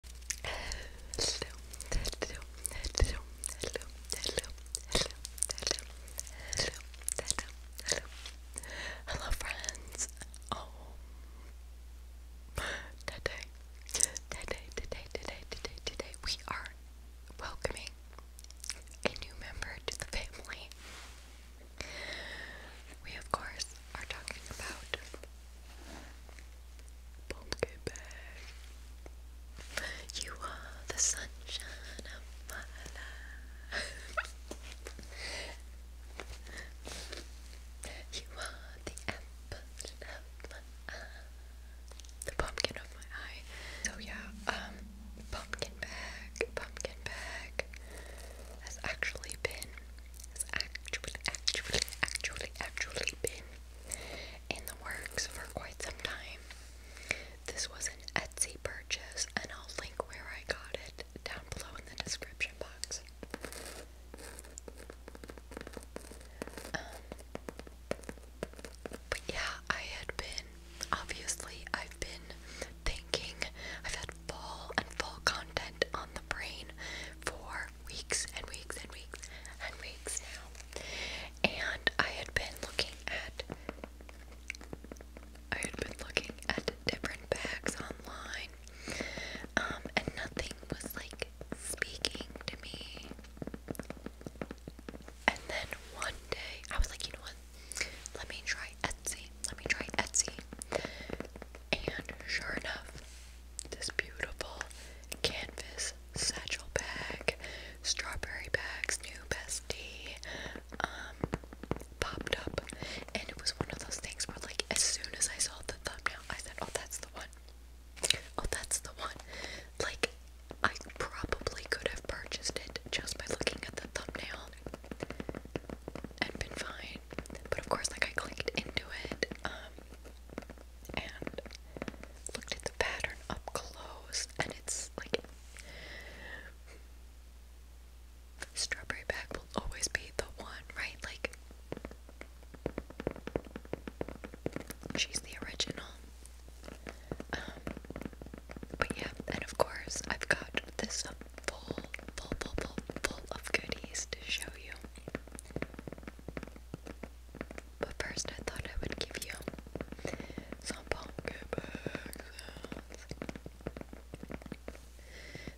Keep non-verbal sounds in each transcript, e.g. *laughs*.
hello, hello, hello, hello, hello, hello, hello, hello, hello, hello, hello, friends. Oh, today, today, today, today, today, today, we are welcoming a new member to the family. We, of course, are talking about Pumpkin bag. You are the sunshine of my life. you are the apple of my eye. The pumpkin of my eye. So yeah, um, pumpkin bag, pumpkin bag has actually been has actually actually actually actually been in the works for quite some time. This was an Etsy purchase, and I'll link where I got it down below in the description box. Um, but yeah, I had been, obviously, I've been thinking, i had fall and fall content on the brain for weeks and weeks and weeks and weeks now. And I had been looking at I had been looking at different bags online. Um, and nothing was like speaking to me. And then one day I was like, you know what? Let me try Etsy. Let me try Etsy. And sure enough, this beautiful canvas satchel bag, strawberry bags, new bestie, um, popped up. And it was one of those things where, like, as soon as I saw the thumbnail, I said, Oh, that's the one. Oh, that's the one. Like, I probably could have purchased it just by looking at the thumbnail and been fine. But of course, like, I clicked into it. Um, and looked at the pattern up close, and it's like strawberry bag will always be the one, right? Like she's the original. Um, but yeah, and of course I've got this full, full, full, full, full of goodies to show you. But first, I thought I would give you some pumpkin bag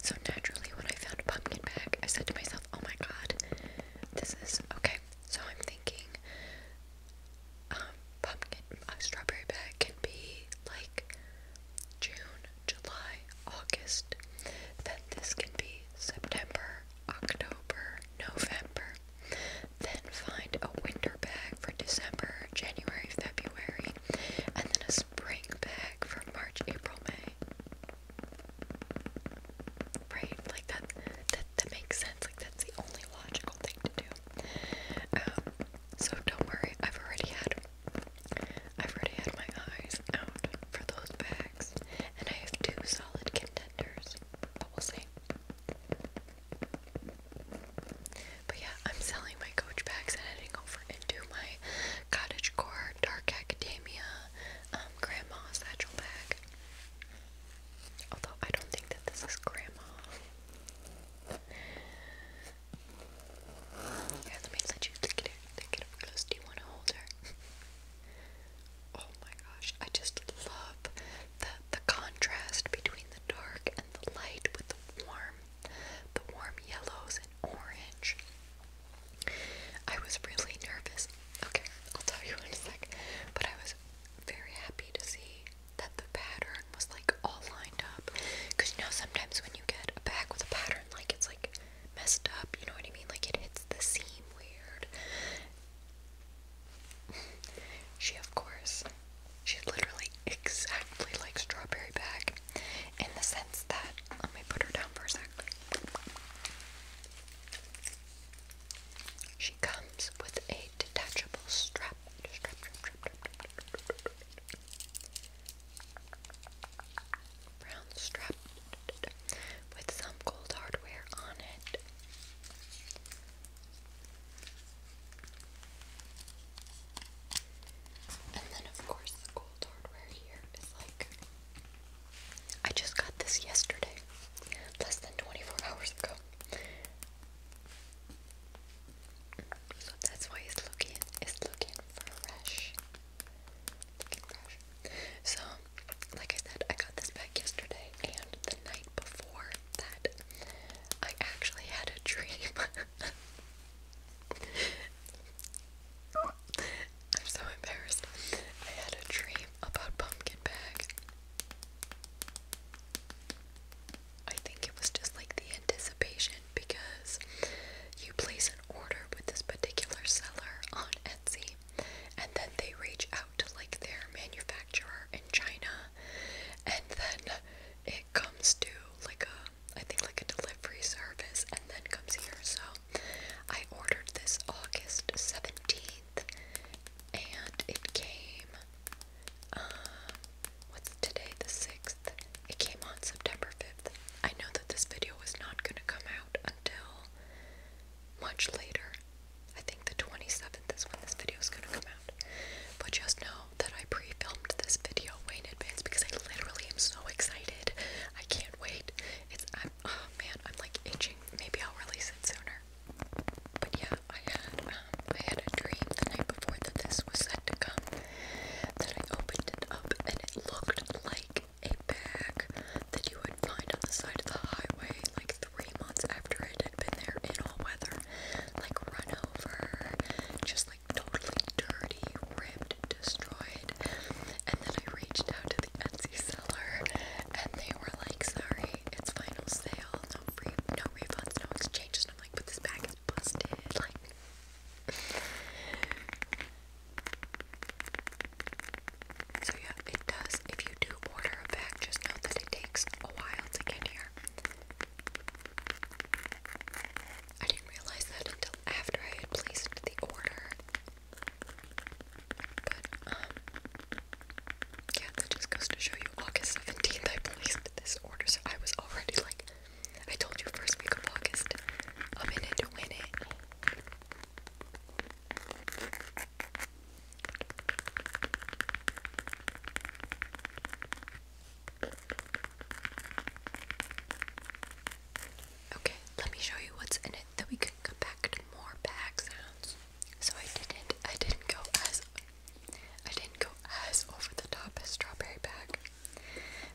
So, naturally, when I found a pumpkin bag, I said to myself, oh my god, this is okay. So, I'm thinking, um, pumpkin, a strawberry bag can be like June, July, August. Then this can be September, October, November. Then find a winter bag for December, January, February, and then a spring bag for March, April, May. Like that that makes sense. Like that's the only logical thing to do. Um, so don't worry, I've already had I've already had my eyes out for those bags and I have two solid contenders. But we'll see. But yeah, I'm selling my coach packs and heading over into my cottage dark academia, um, grandma Although I don't think that this is grandma. Yeah, let me let you look at her. it up close. Do you want to hold her? Oh my gosh, I just love the the contrast between the dark and the light with the warm the warm yellows and orange. I was really nervous. Okay, I'll tell you in a sec. But I was very happy to see that the pattern was like all lined up. Cause you know sometimes when you get a bag with a pattern, like it's like messed up, you know what I mean? Like it hits the seam weird. *laughs* she, of course, she's literally exactly like Strawberry Bag in the sense that, let me put her down for a sec. She comes with a detachable strap. Strap, strap, strap, strap, strap, strap, strap brown strap with some gold hardware on it. And then, of course, the gold hardware here is like. I just got this yesterday, less than 24 *laughs* hours ago. So that's why it's looking, it's looking fresh. Looking fresh. So like I said, I got this back yesterday, and the night before that, I actually had a dream. *laughs* I'm so embarrassed. I had a dream about Pumpkin Bag. I think it was just like the anticipation because you place an order with this particular seller on Etsy and then they reach out to like their manufacturer in China and then it comes to like a I think like a delivery service and then comes here. So I ordered this August 17th and it came uh, what's today the 6th? It came on September 5th. I know that this video was not going to come out until much later, I think the 27th is when this video is going to come out. But just know that I pre filmed this video way in advance because I literally am so excited. I can't wait. It's, I'm, oh man, I'm like itching. Maybe I'll release it sooner. But yeah, I had, um, I had a dream the night before that this was set to come. That I opened it up and it looked like a bag that you would find on the side of the highway like three months after it had been there in all weather. Like run over, just like totally dirty, ripped, destroyed. And then I reached out to the Etsy seller and they were like, sorry, it's final sale, no free no refunds, no exchanges. And I'm like, but this bag is busted. Like so yeah, it does. If you do order a bag, just know that it takes a while to get here. I didn't realize that until after I had placed the order. But um, yeah, that just goes to show you August 17th I placed this order, so I was already like I told you first week of August. I'm in to win it. Okay, let me show you what's in it that we can come more bag So I didn't I didn't go as I didn't go as over the top as strawberry bag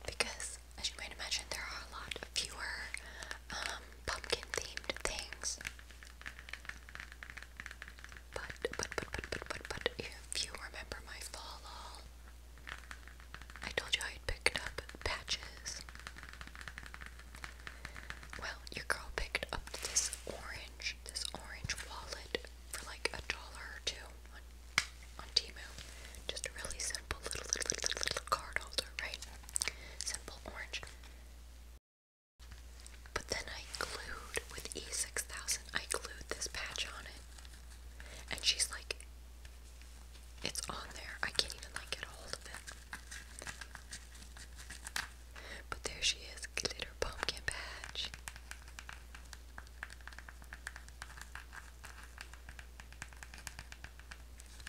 because as you might imagine there are a lot fewer um, pumpkin themed things. But, but, but, but, but, but, but, if you remember my fall haul, I told you I had picked up patches. Well, your girl picked up this orange, this orange wallet for like a dollar or two on, on Timu. Just a really simple little, little, little, little card holder, right? Simple orange. But then I glued with E6000, I glued this patch on it. And she's like, it's on there. I can't even like get a hold of it. But there she is, glitter pumpkin patch.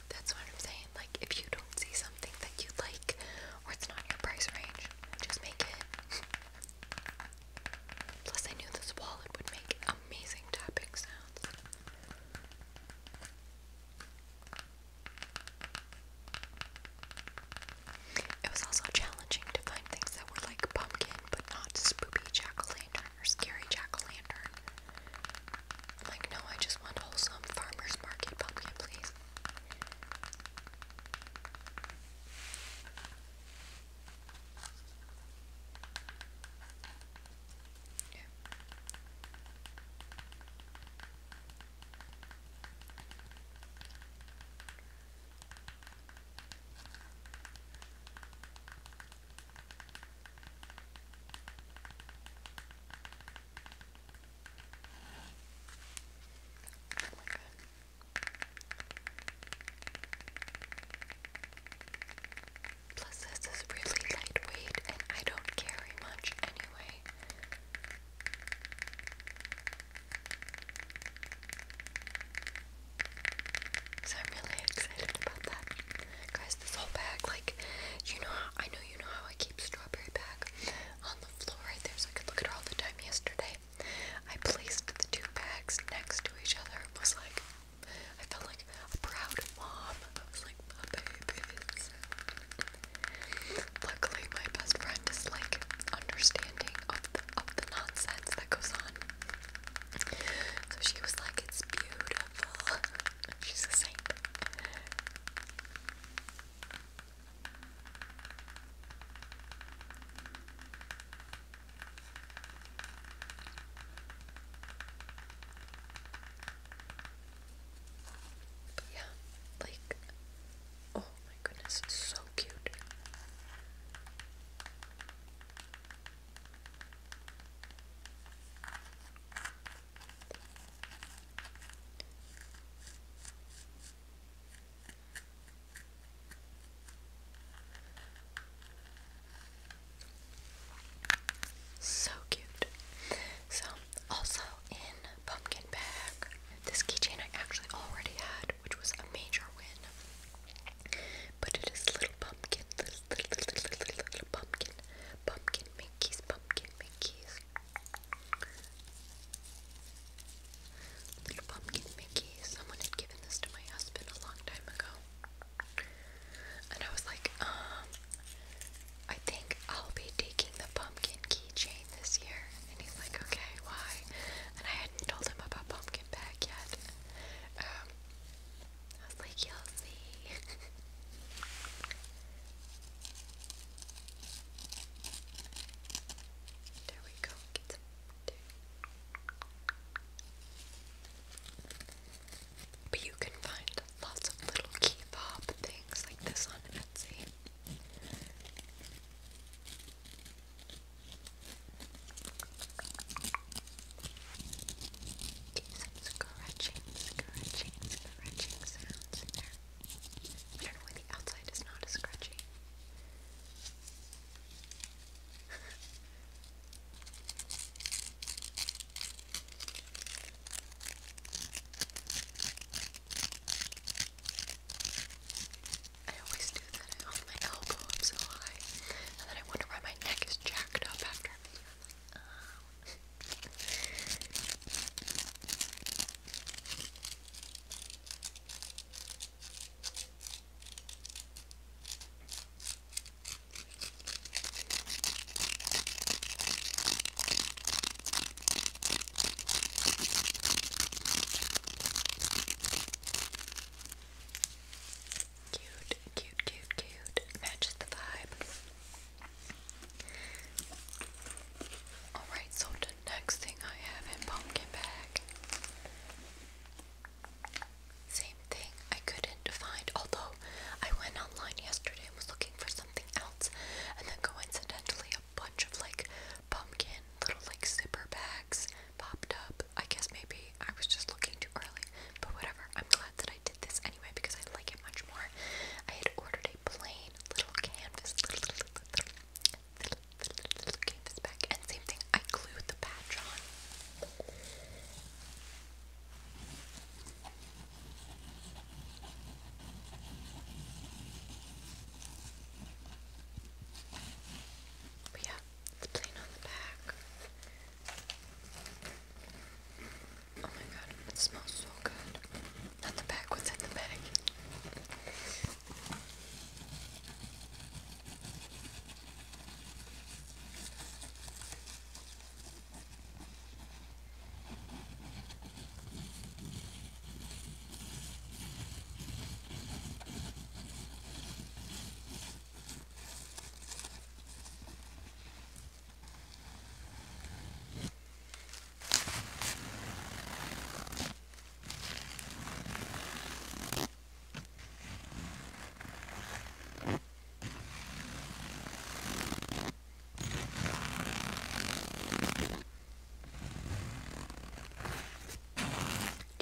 That's what I'm saying. Like, if you don't see something that you like or it's not your price range, just make it. Plus, I knew this wallet would make amazing tapping sounds. It was also challenging to find things that were like pumpkin, but not spoopy jack o' lantern or scary jack o' lantern. Like, no, I just want wholesome farmer's market pumpkin, please. Yeah. Plus, this is really lightweight and I don't carry much anyway. So I'm really excited about that. Guys, this whole bag, like, you know, I know you know how I strawberry bag on the floor right there so I could look at her all the time yesterday. I placed the two bags next to each other. It was like, I felt like a proud mom. I was like, my babies. Luckily, my best friend is like understanding of the, of the nonsense that goes on. So she was like, it's beautiful. *laughs* She's the same. But yeah, like, oh my goodness, it's so cute. So cute. So, also in Pumpkin Bag, this keychain I actually already had, which was a major win. But it is little pumpkin, little, little, little, little, pumpkin, pumpkin Mickey's, pumpkin Mickey's. Little Pumpkin Mickey. Someone had given this to my husband a long time ago. And I was like, um, I think I'll be taking the pumpkin keychain this year. And he's like, okay, why? And I hadn't told him about Pumpkin Bag yet. Um, I was like, you'll see. *laughs* There we go. but you can find lots of little key things like this on Etsy. Some scratching, scratching, scratching sounds there. I don't know why the outside is not as scratchy. I always do that. I hold my elbow up so high, and then I wonder why my neck is jacked up after. Cute, cute, cute, cute. Matches the vibe. Alright, so the next thing I have in Pumpkin Bag. Same thing, I couldn't find, although I went online yesterday and was looking for something else, and then coincidentally, a bunch of like pumpkin little like zipper bags popped up. I guess maybe I was just looking too early, but whatever. I'm glad that I did this anyway because I like it much more. I had ordered a plain little canvas, little, little, little, little, little, little canvas back. And same thing, I glued the patch on. But yeah, it's plain on the back. Oh my god, it smells so good. Not the bag, what's in the bag? Do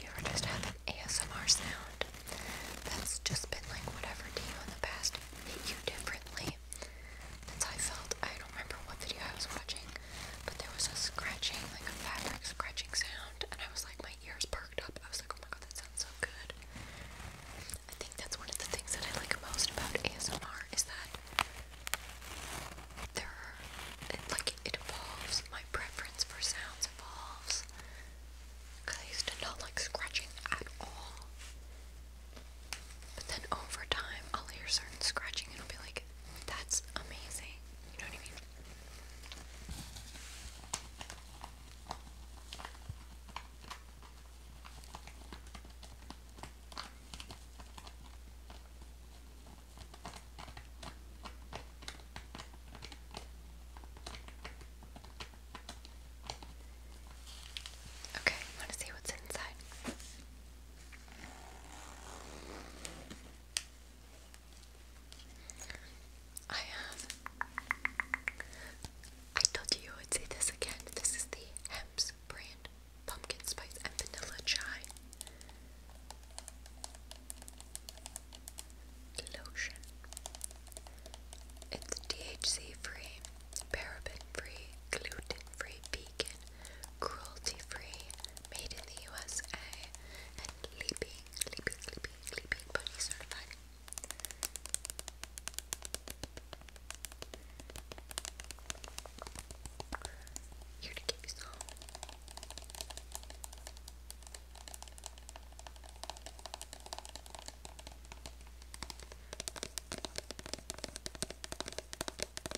you ever just have an ASMR sound that's just been like whatever to you in the past hit you differently? That's how I felt. I don't remember what video I was watching, but there was a scratching, like a fabric scratching sound, and I was like, my ears perked up. I was like, oh my god, that sounds so good. I think that's one of the things that I like most about ASMR is that there it, like, it evolves. My preference for sounds evolves. Cause I used to not like scratching at all. But then over time, I'll hear certain scratching and I'll be like, that's amazing. You know what I mean? Okay, want to see what's inside. I have. I told you I would say this again. This is the Hems brand pumpkin spice and vanilla chai lotion. It's DHC free, paraben free, gluten free, vegan, cruelty free, made in the USA, and leaping, leaping, leaping, leaping bunny certified. Here to keep you so.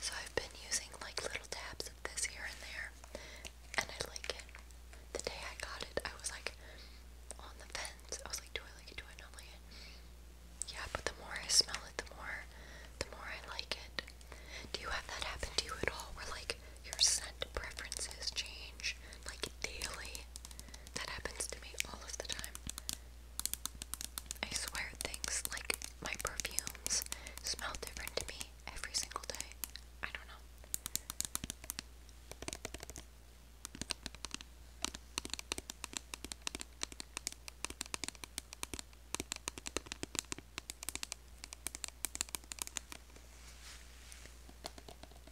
So I've been using like little tabs of this here and there, and I like it. The day I got it, I was like on the fence. I was like, do I like it? Do I not like it? Yeah, but the more I smell it, the more, the more I like it. Do you have that happen to you at all? Where like your scent preferences change, like daily. That happens to me all of the time. I swear things like my perfumes smell different to me every single day. I don't know.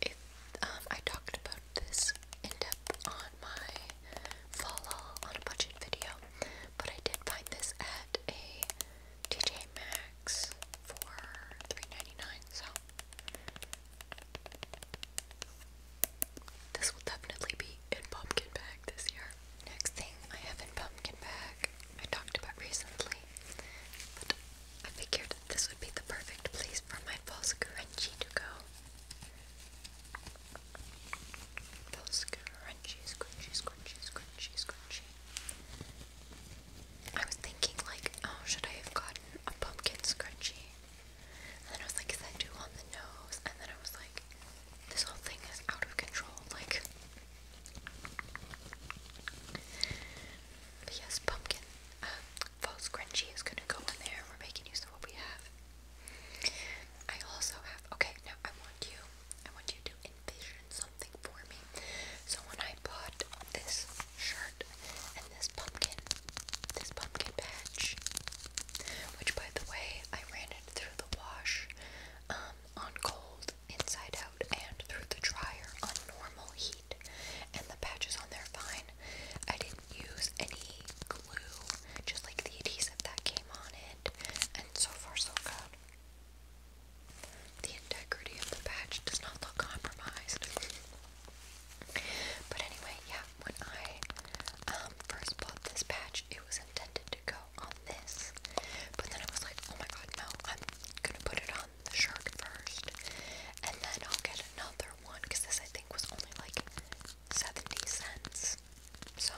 It, um, I talked about this in depth on my follow on a budget video, but I did find this at a TJ Maxx for 3 so this will definitely be in pumpkin bag this year. Next thing I have in pumpkin bag, I talked about recently, but I figured this would be the perfect place for my false scrunchie to go. False scrunchie, scrunchy, scrunchy, scrunchy, scrunchy. I was thinking like, oh, should I have gotten a pumpkin scrunchie? And then I was like, is that too on the nose? And then I was like, this whole thing is out of control. Like, but yes, pumpkin, uh, false crunchy is gonna go in there. We're making use of what we have. I also have, okay, now I want you, I want you to envision something for me. So when I bought this shirt and this pumpkin, this pumpkin patch, which by the way, I ran it through the wash um, on cold, inside out, and through the dryer on normal heat, and the patches on there fine. I didn't use any glue, just like the adhesive that came on it, and so far so good. The integrity of the patch does not look compromised. But anyway, yeah, when I um, first bought this patch, it was intended to go on this. But then I was like, oh my god, no, I'm gonna put it on the shark first. And then I'll get another one, because this I think was only like 70 cents. So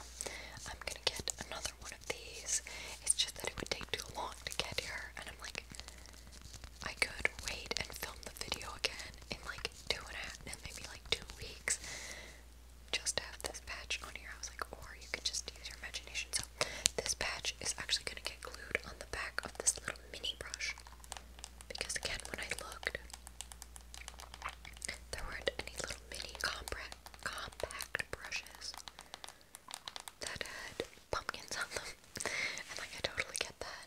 I'm gonna get another one of these. It's just that it would take too long to get here, and I'm like, I could wait and film the video again in like two and a half, and maybe like two weeks, just to have this patch on here. I like, or you could just use your imagination. So this patch is actually gonna get glued on the back of this little mini brush because again, when I looked, there weren't any little mini compact compact brushes that had pumpkins on them, *laughs* and like I totally get that.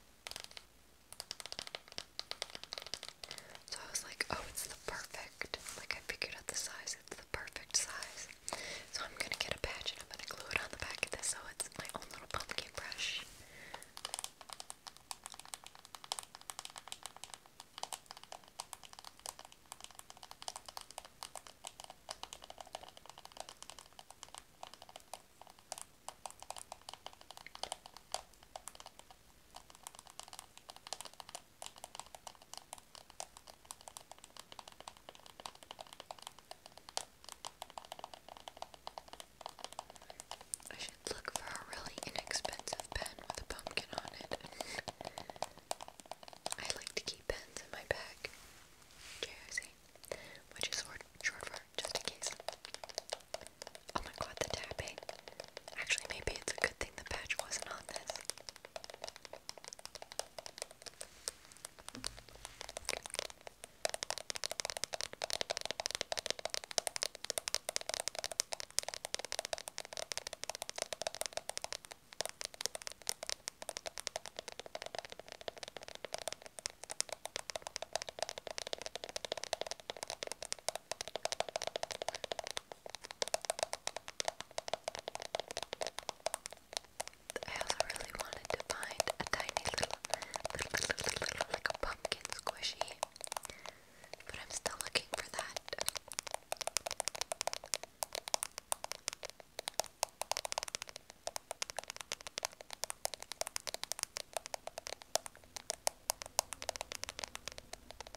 So I was like, oh, it's the perfect, like I figured out the size, it's the perfect size. So I'm gonna get a patch and I'm gonna glue it on the back of this so it's my own little pumpkin brush. I should look for a really inexpensive pen with a pumpkin on it. I like to keep pens in my bag. JRC which is short for just in case. Oh my god, the tapping. Actually, maybe it's a good thing the patch wasn't on this. I also really wanted to find a tiny little, little, little, little, like a pumpkin squishy, but I'm still looking for that.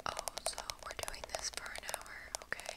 Oh, so we're doing this for an hour, okay.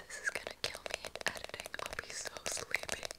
This is gonna kill me in editing. I'll be so sleepy.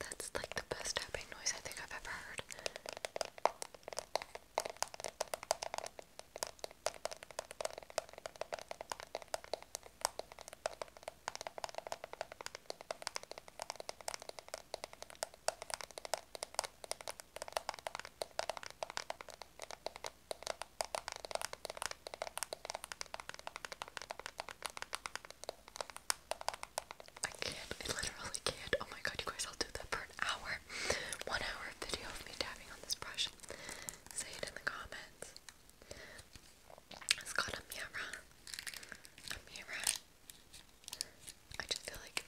That's like the best tapping noise I think I've ever heard. I can't. I literally can't. Oh my god, you guys, I'll do that for an hour. One hour video of me tapping on this brush. Say it in the comments. It's called a mirror. I just feel like.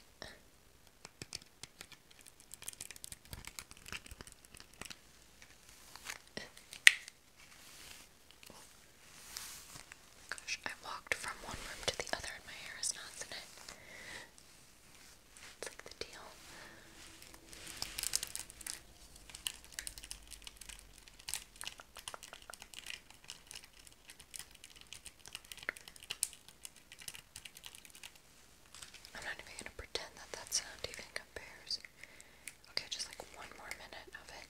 Gosh, I walked from one room to the other and my hair is knots in it. It's like the deal. I'm not even gonna pretend that that sound even compares. Okay, just like one more minute of it.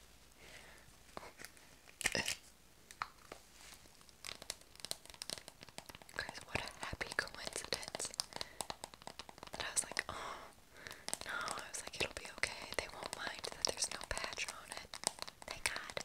Oh. *laughs* Guys, what a happy coincidence. That I was like, oh, no, I was like, it'll be okay. They won't mind that there's no patch on it. Thank God.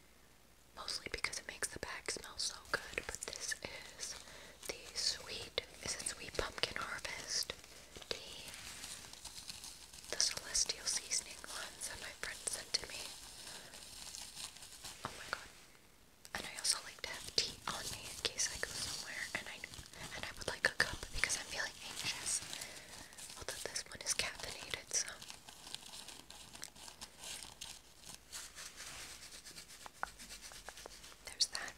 mostly because it makes the bag smell so good. But this is the sweet, is it sweet pumpkin harvest tea? The celestial seasoning ones that my friend sent to me. Oh my god. And I also like to have tea on me in case I go somewhere and I and I would like a cup because I'm feeling anxious. Although this one is caffeinated, so there's that.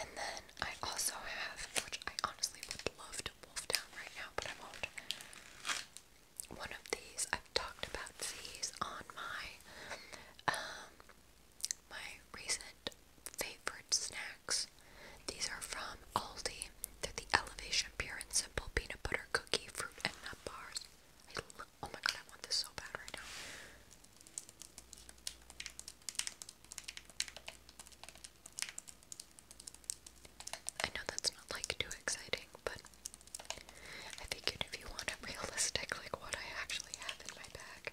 And then I also have, which I honestly would love to wolf down right now, but I am not One of these, I've talked about these on my, um, my recent favorite snacks. These are from Aldi. They're the Elevation Pure and Simple Peanut Butter Cookie Fruit and Nut Bars. oh my god, I want this so bad right now. I know that's not like too exciting, but I figured if you want a realistic, like what I actually have in my bag.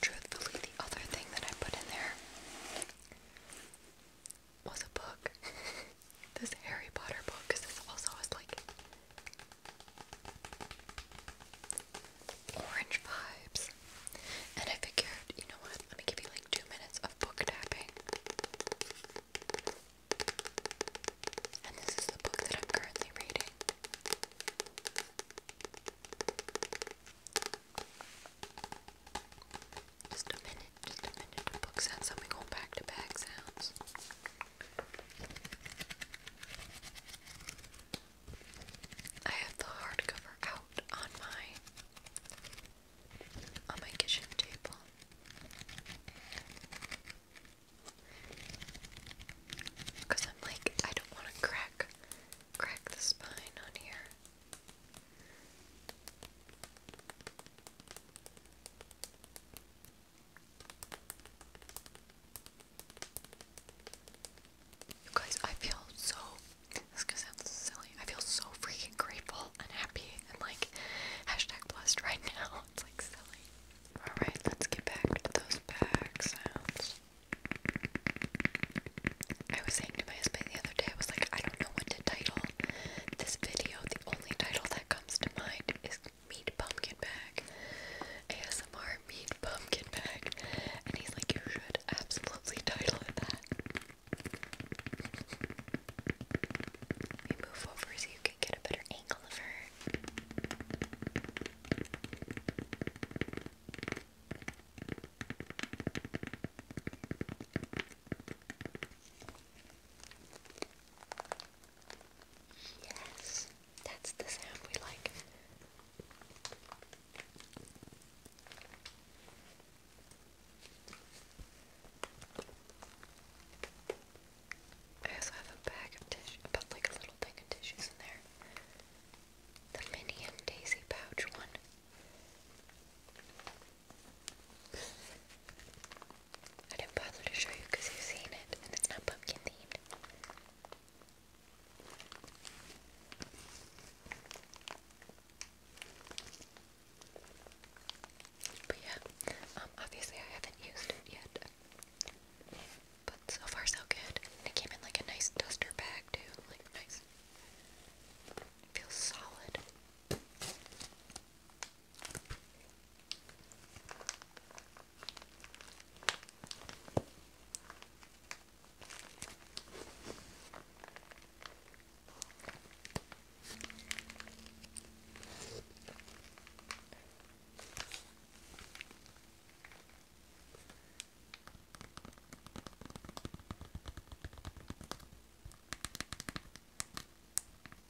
Truthfully, the other thing that I put in there was a book. *laughs* this Harry Potter book, because this also has like orange vibes. And I figured, you know what, let me give you like two minutes of book tapping. And this is the book that I'm currently reading. Just a minute, just a minute to book sounds. I'm going back to back sounds. I have the hardcover out on my on my kitchen table. Because I'm like, I don't want to crack crack the spine on here. You guys, I feel so. This gonna silly. I feel so freaking grateful and happy and like hashtag blessed right *laughs* now. It's like silly. Alright, let's get back to those back sounds. I was saying to my husband the other day, I was like, I don't know what to title this video. The only title that comes to mind is Meat Pumpkin Bag. ASMR Meat Pumpkin Bag. And he's like, You should absolutely title it that. You move over so you can get a better angle of her. Yes, that's the sound we like. I also have a bag of tissue, but like a little thing of tissues in there the Minion Daisy Pouch one. I didn't bother to show you because you've seen it and it's not pumpkin themed. But yeah, um, obviously I haven't used it yet. But so far so good. it came in like a nice duster bag too. Like nice. It feels solid.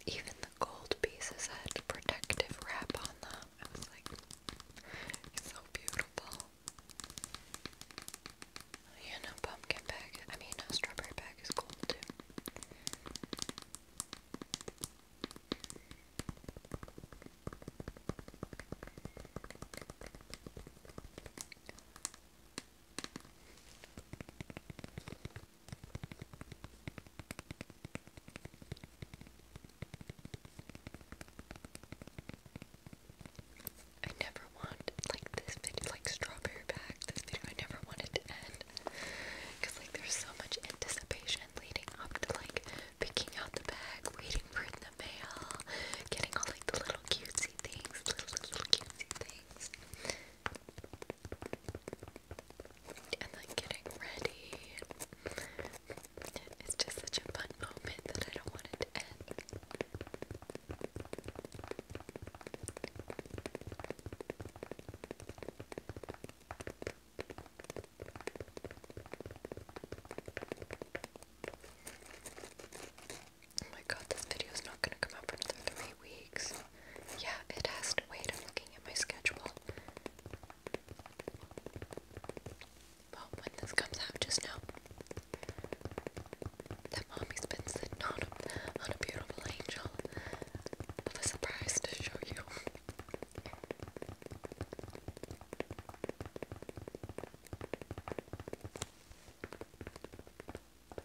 Even the gold pieces had protective wrap on them. I was like, it's so beautiful. Yeah, no pumpkin bag. I mean, a strawberry bag is cool too. I never want like this video, like strawberry bag. This video, I never wanted to end because like there's so much anticipation leading up to like picking out the bag, waiting for the mail, getting all like the little cutesy things, little little cutesy things. And like getting ready. It's just such a fun moment that I don't want to end. Oh my god, this video is not gonna come up for another three weeks. Yeah, it has to wait. I'm looking at my schedule. Well, when this comes out, just know that mommy's been sitting on a, on a beautiful angel of a surprise to show you.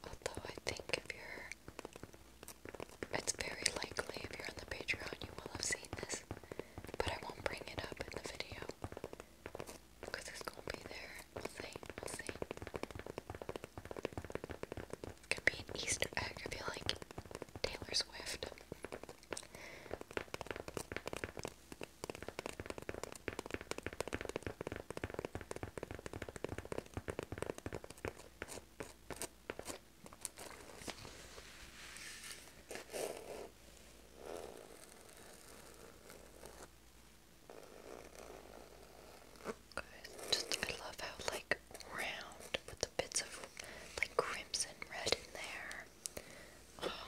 Although I think if you're it's very likely if you're on the Patreon you will have seen this, but I won't bring it up in the video because it's gonna be there. We'll see. We'll see. It could be an Easter egg. I feel like Taylor Swift. Just I love how like round with the bits of like crimson red in there. Oh,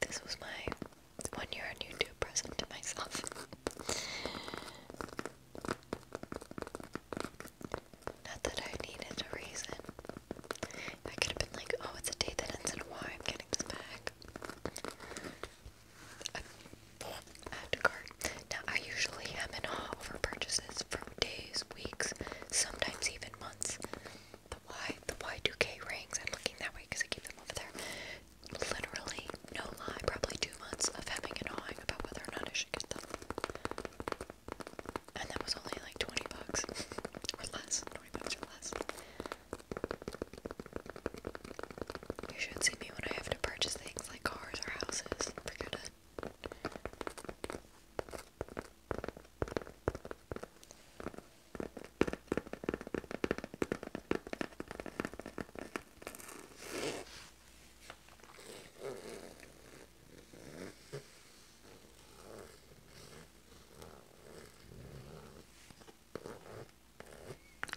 This was my one year YouTube present to myself. Not that I needed a reason. I could have been like, oh, it's a day that ends in a Y, I'm getting this back. add to cart. Now, I usually am in awe over purchases from days, weeks, sometimes even months. The Y, the Y2K rings, I'm looking that way because I keep them over there. Literally, no lie, probably two months of hemming and hawing about whether or not I should get them. And that was only like 20 bucks *laughs* or less. 20 bucks or less. You should see me when I have to purchase things like cars or houses. Forget it.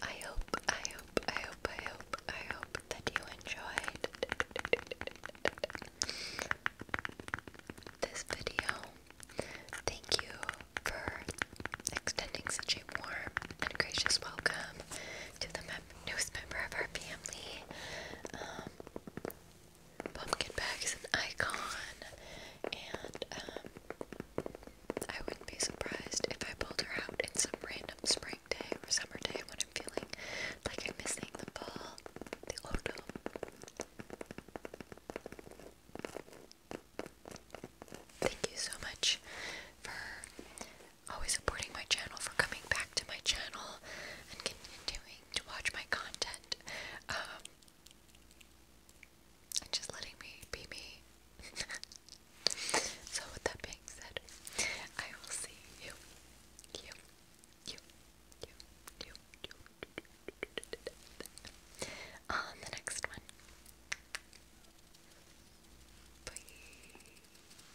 I hope, I hope, I hope, I hope, I hope that you enjoyed this video. Thank you for extending such a warm and gracious welcome to the um, newest member of our family. Um, pumpkin Bag is an icon, and um, I would be surprised if I pulled her out in some random spring day or summer day when I'm feeling like I'm missing the fall, Thank you so much for always supporting my channel, for coming back to my channel and continuing to watch my content. Um, and just letting me be me. *laughs* so, with that being said, I will see you, you, you, you, you, you, on the next one. Bye.